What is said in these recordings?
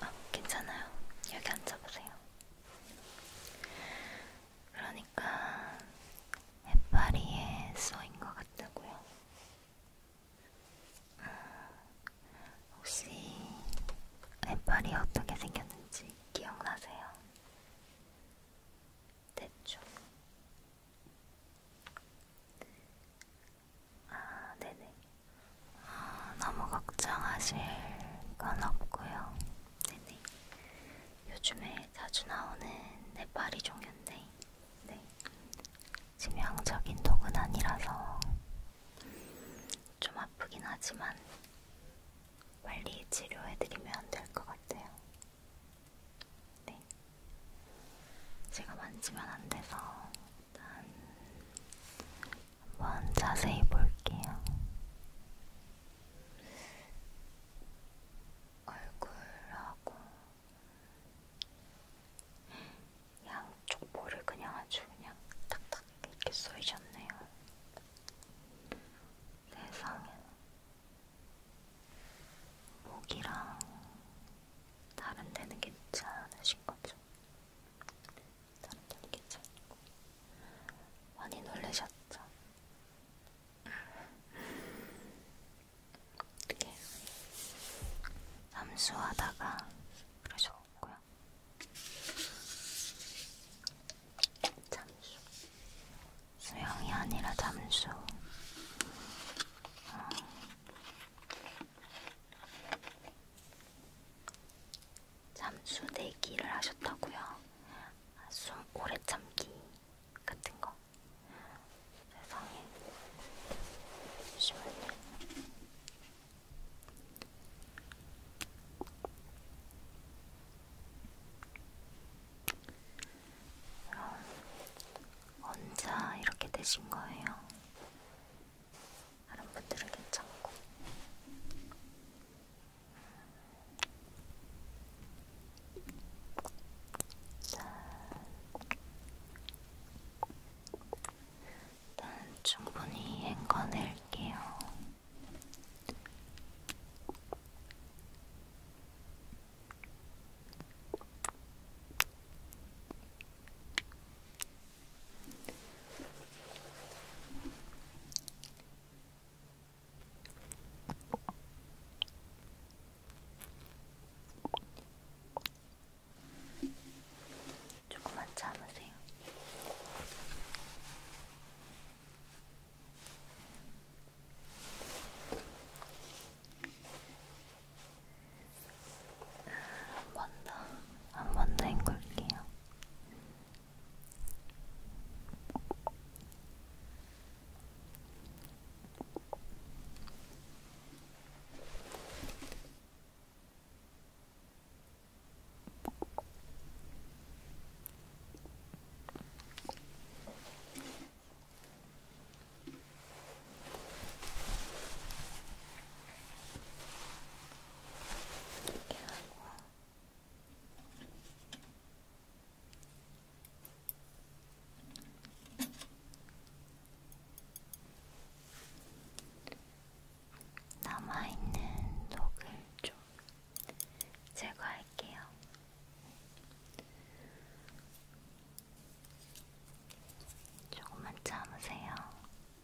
아, 괜찮아요. 여기 앉아보세요. 그러니까 해파리에 써인 것 같다고요. 아, 혹시 해파리 어떻게 생겼는지 기억나세요? 대충. 아, 네네. 아, 너무 걱정하실 건 없고요. 네네. 요즘에 자주 나오는 네파리 종류인데, 네. 치명적인 독은 아니라서 좀 아프긴 하지만 빨리 치료해드리면 될것 같아요. 네. 제가 만지면 안 돼서 일단 한번 자세히 볼게요. 얼굴하고 양쪽 볼을 그냥 아주 그냥 딱딱 이렇게 쏘이셨네요. 세상에 목이랑 다른 데는 괜찮으신 거죠? 사람들이 괜찮고 많이 놀라셨죠? 이렇게 네. 잠수하다가 그러셨고요. 잠수 수영이 아니라 잠수. 어. 잠수 내기를 하셨다고요? 숨 오래 참기 같은 거. 세상에. 잠시만요. 그럼 언제 이렇게 되신 거예요? 다른 분들은 괜찮고 짠. 일단 충분히 헹궈낼게요. 조금만 참으세요. 한번더한번더 헹굴게요. 이렇게 하고 남아있는 녹을 좀 제거할게요. 조금만 참으세요.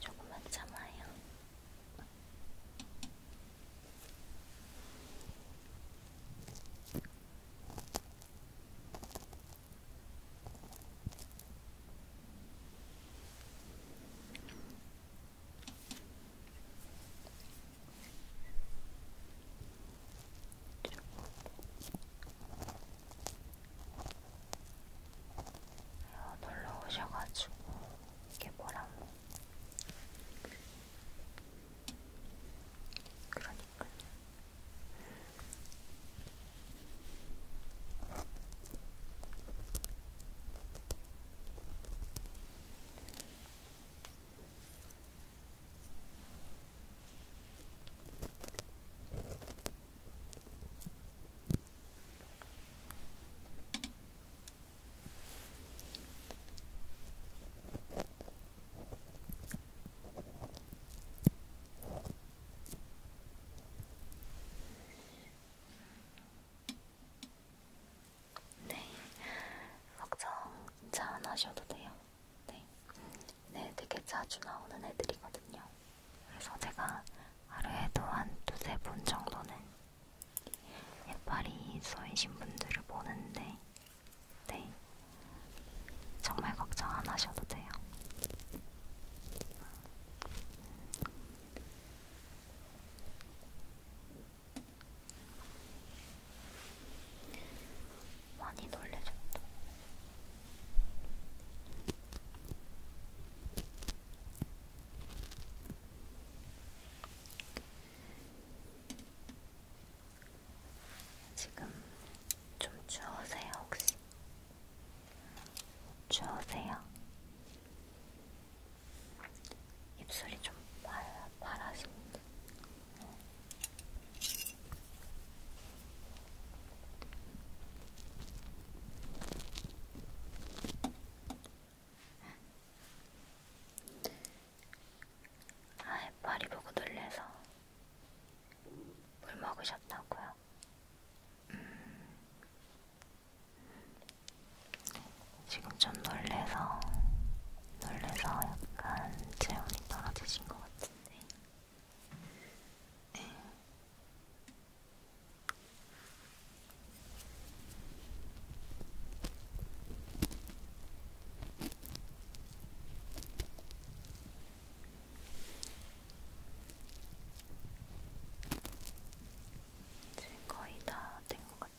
조금만 참아요. 놀러 오셔가지고 이게 뭐라고 그러니까 네, 걱정 안 하셔도 돼요. 네. 네, 되게 자주 나오는 애들이거든요. 그래서 제가 하루에도 한 두세 분 정도는 예파리 써이신 분들을 보는데, 네. 정말 걱정 안 하셔도 돼요. 많이 놀래줬다. 지금 좀 추우세요, 혹시? 추우세요? 입술이 좀 빨라 파라솔. 아이, 파리 보고 놀래서 물 먹으셨다고요? 음. 지금 좀 놀래서, 놀래서 약간 체온이 떨어지신 것것 같은데. 네. 이제 거의 다 된 것 같은데.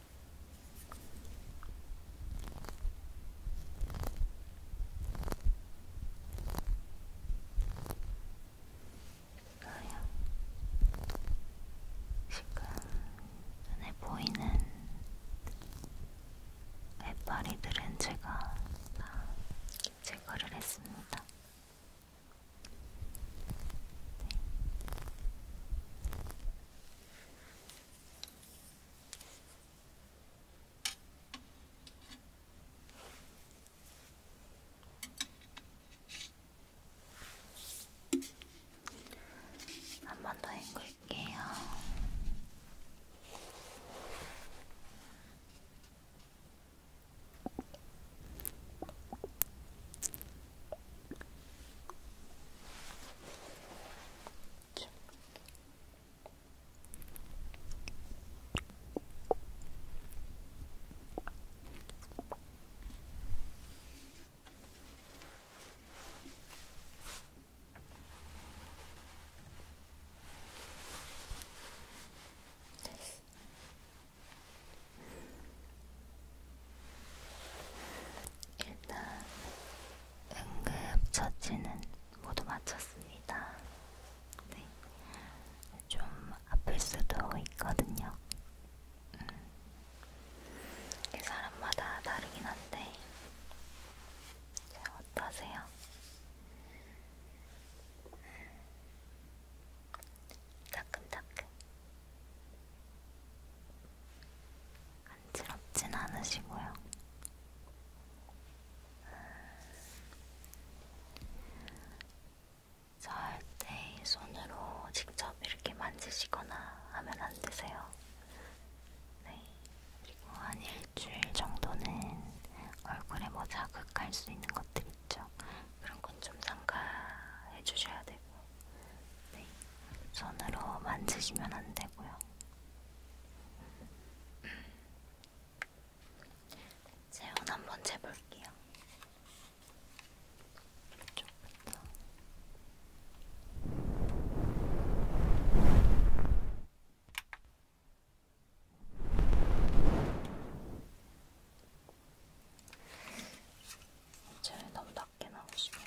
이거요. 지금 눈에 보이는 해파리들은 제가 다 제거를 했습니다. 네. 한번더 헹굴게요. 그렇죠. 일단 응급처치는 모두 마쳤습니다. 네. 좀 아플 수도 있거든요. 음. 이게 사람마다 다르긴 한데, 네, 어떠세요? 음. 따끔따끔. 간지럽진 않으시고요. 절대 손으로 직접 이렇게 만지시거나 하면 안 되세요. 네. 그리고 한 일주일 정도는 얼굴에 뭐 자극할 수 있는 것들 있죠. 그런 건 좀 삼가해 주셔야 되고, 네. 손으로 만지시면 안 되고요. 재원 한번 재볼게요. 이쪽부터. 제일 너무 낮게 나오시면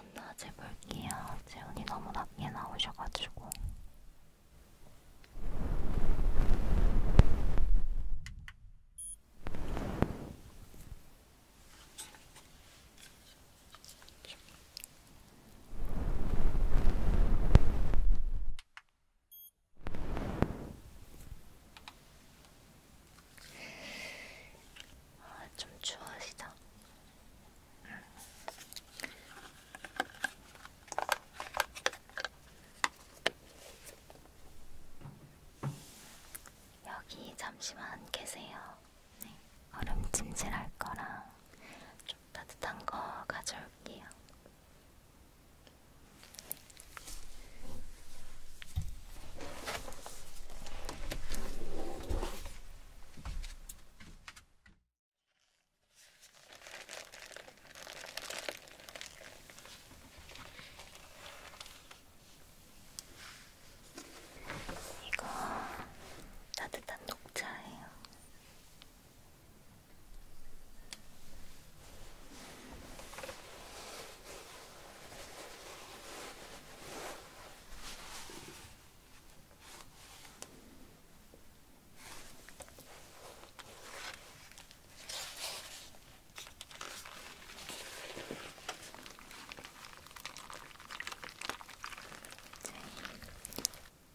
한번 낮해볼게요. 재훈이 너무 낮게 나오셔가지고. 아, 좀 추워지다. 여기 잠시만 계세요. 네, 얼음 찜질할 거랑 좀 따뜻한 거 가져올게요. 이거 따뜻한 녹차예요.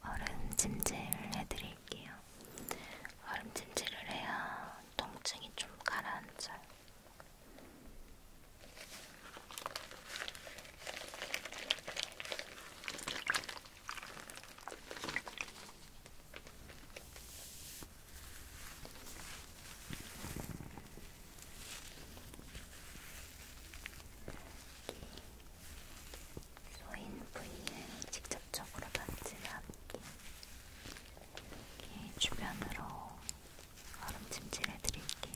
얼음 찜질을 해드릴게요. 얼음 찜질을 해야 통증이 좀 가라앉아요. 소인 부위에 직접적으로 만지는 않기 이렇게 주변으로 얼음찜질해 드릴게요.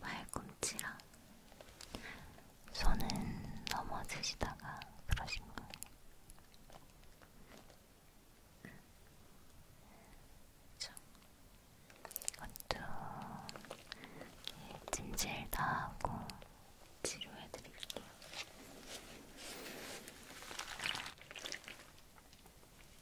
발꿈치랑 손은 넘어지시다가 그러신 거예요. 그렇죠? 이것도 찜질 다 하고 치료해드릴게요.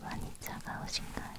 많이 차가우신가요?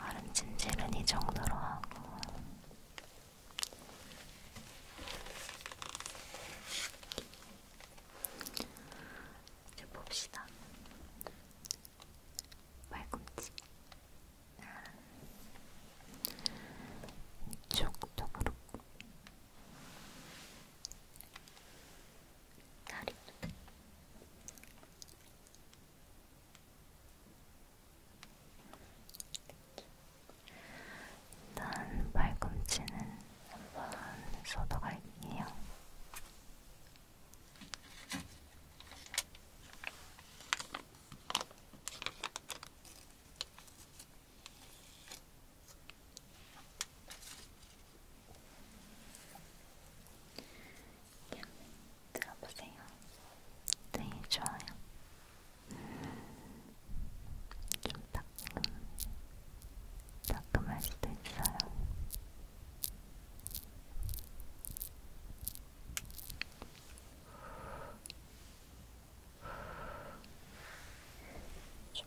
얼음 찜질은 이 정도로 하고 이제 봅시다. 발꿈치 이쪽도 그렇고 다리도 일단 발꿈치는 한번 쏟아갈게요. 의견을 들어보세요. 되게 좋아요. 음, 좀 따끔, 따끔할 수도 있어요. 좀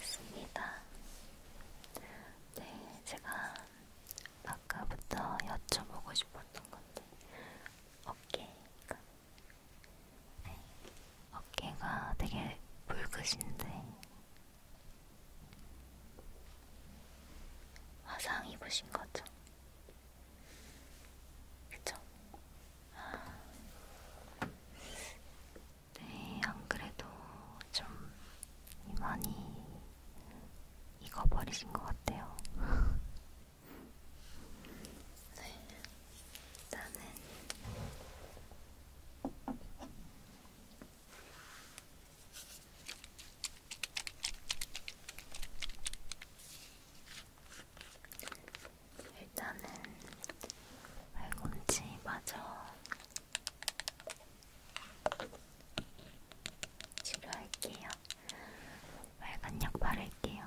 있습니다. 네, 제가 아까부터 여쭤보고 싶었던 건데 어깨가 네, 어깨가 되게 붉으신데 화상 입으신 거죠? 그쵸? 아... 네, 안 그래도 좀 많이 익어버리신 것 같아요. 네, 나는 일단은 발꿈치 마저 치료할게요. 빨간 약 바를게요.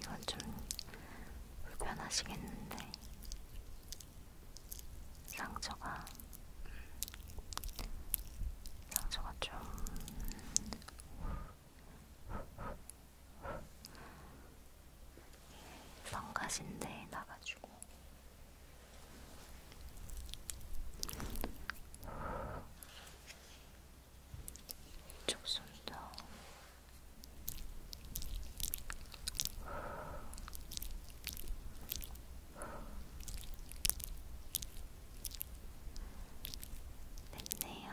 이건 좀 불편하시겠는데 상처가 상처가 좀 성가신대에 나가지고 이쪽 손도 됐네요.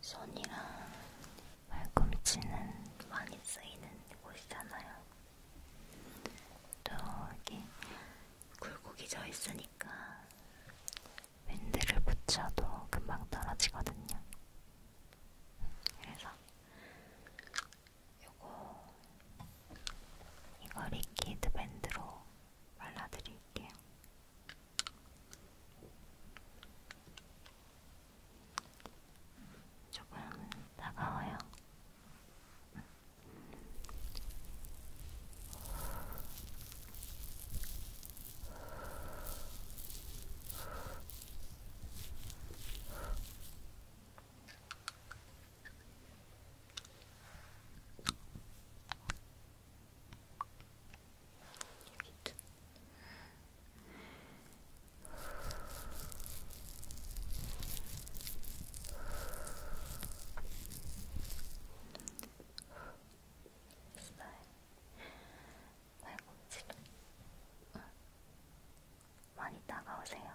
손이랑 발꿈치는 많이 쓰이는 곳이잖아요. 또 이렇게 굴곡이 져 있으니까 밴드를 붙여도 금방 떨어지거든요. 그래서 요거 이거 리퀴드 밴드로 발라드릴게요. 조금 따가워요. 됐어요. 발꿈치도 많이 따가우세요.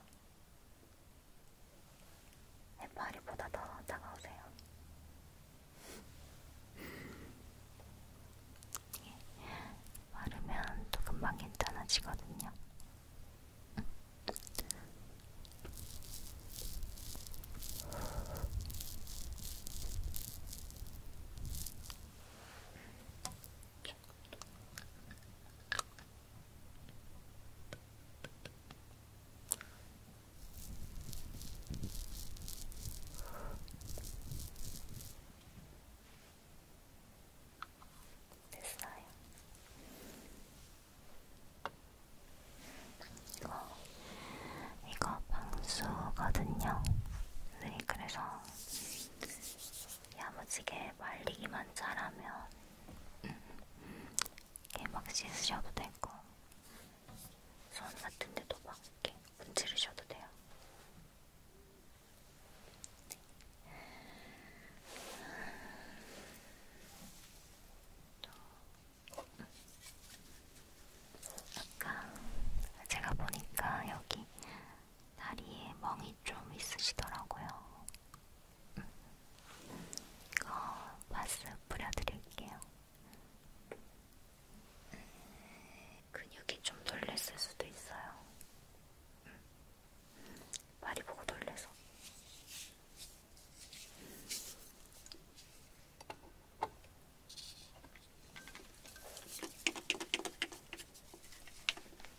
해파리보다 더 차가우세요. 예. 마르면 또 금방 괜찮아지거든요. 됐어요. 이거, 이거 방수거든요. 네, 그래서 야무지게 말리기만 잘하면 음, 이렇게 막 씻으셔도 되고 손 같은 데도 막 이렇게 문지르셔도 돼요. 또 아까 제가 보니까 여기 다리에 멍이 좀 있으시더라고요. 이거 마스 뿌려드릴게요. 음, 근육이 좀 놀랬을 수도 있어요. 음, 말이 보고 놀래서.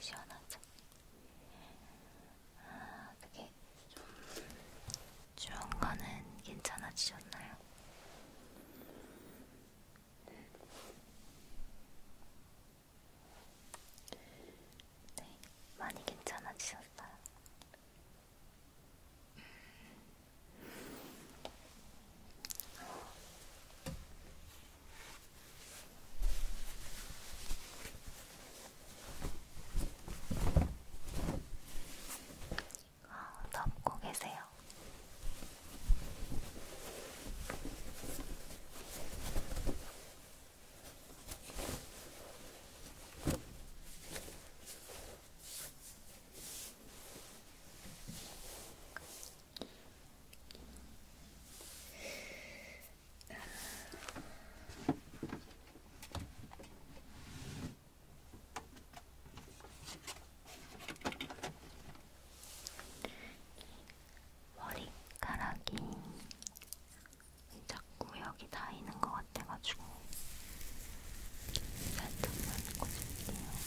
시원하죠? 아, 그게 좀 추운 거는 괜찮아지셨나요? 네, 많이 괜찮아지셨어요. 아, 덮고 계세요. 머리카락이 자꾸 여기 닿이는 것 같아가지고 살짝만 꽂을게요.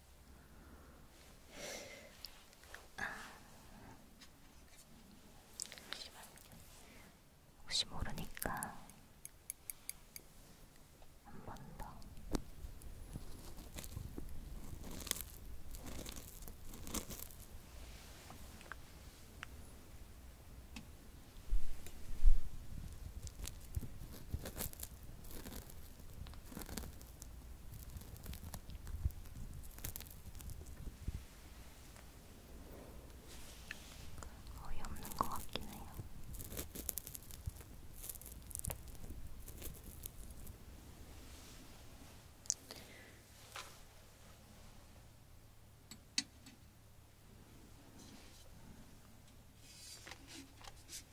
혹시 모르니까 한 번 더. 어이없는 것 같긴 해요.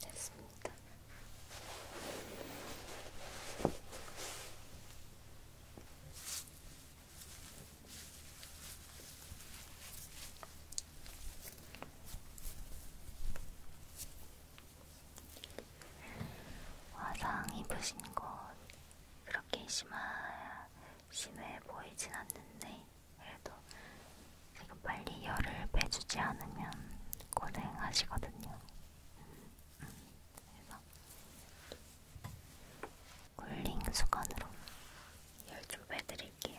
됐습니다. 화상 입으신 것 그렇게 심하, 심해 보이진 않는데 그래도 지금 빨리 열을 빼주지 않으면 고생하시거든요. 그래서 굴링 수건으로 열 좀 빼드릴게요.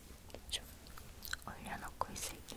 좀 올려놓고 있을게요.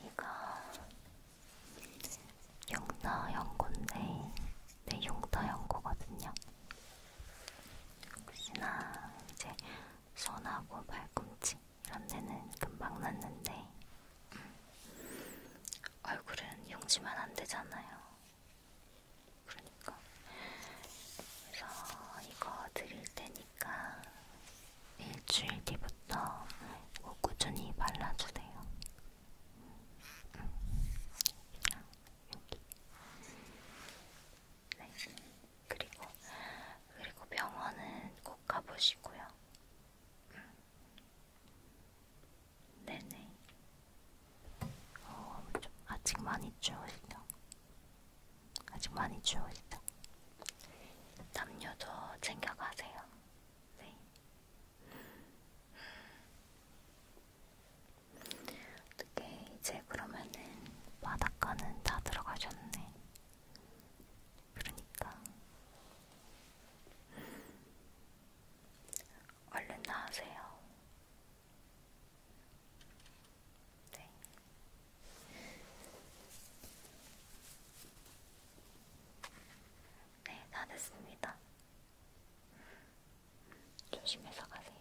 이거 용서 연고인데 내 네, 용서 연고거든요. 혹시나 이제 손하고 발꿈치 이런 데는 금방 났는데 음, 얼굴은 용지만 안 되잖아요. 그러니까. 그래서 이거 드릴 테니까 일주일 뒤부터 이거 꾸준히 발라주세요. 응. 음. 그냥 여기. 네. 그리고, 그리고 병원은 꼭 가보시고요. 네네. 어, 좀 아직 많이 추우시죠? 아직 많이 추우시죠? 담요도 챙겨가세요. 네. 어떻게 이제 그러면은 바닷가는 다 들어가셨네. 그러니까 얼른 나으세요. 네. 네, 다 됐습니다. 조심해서 가세요.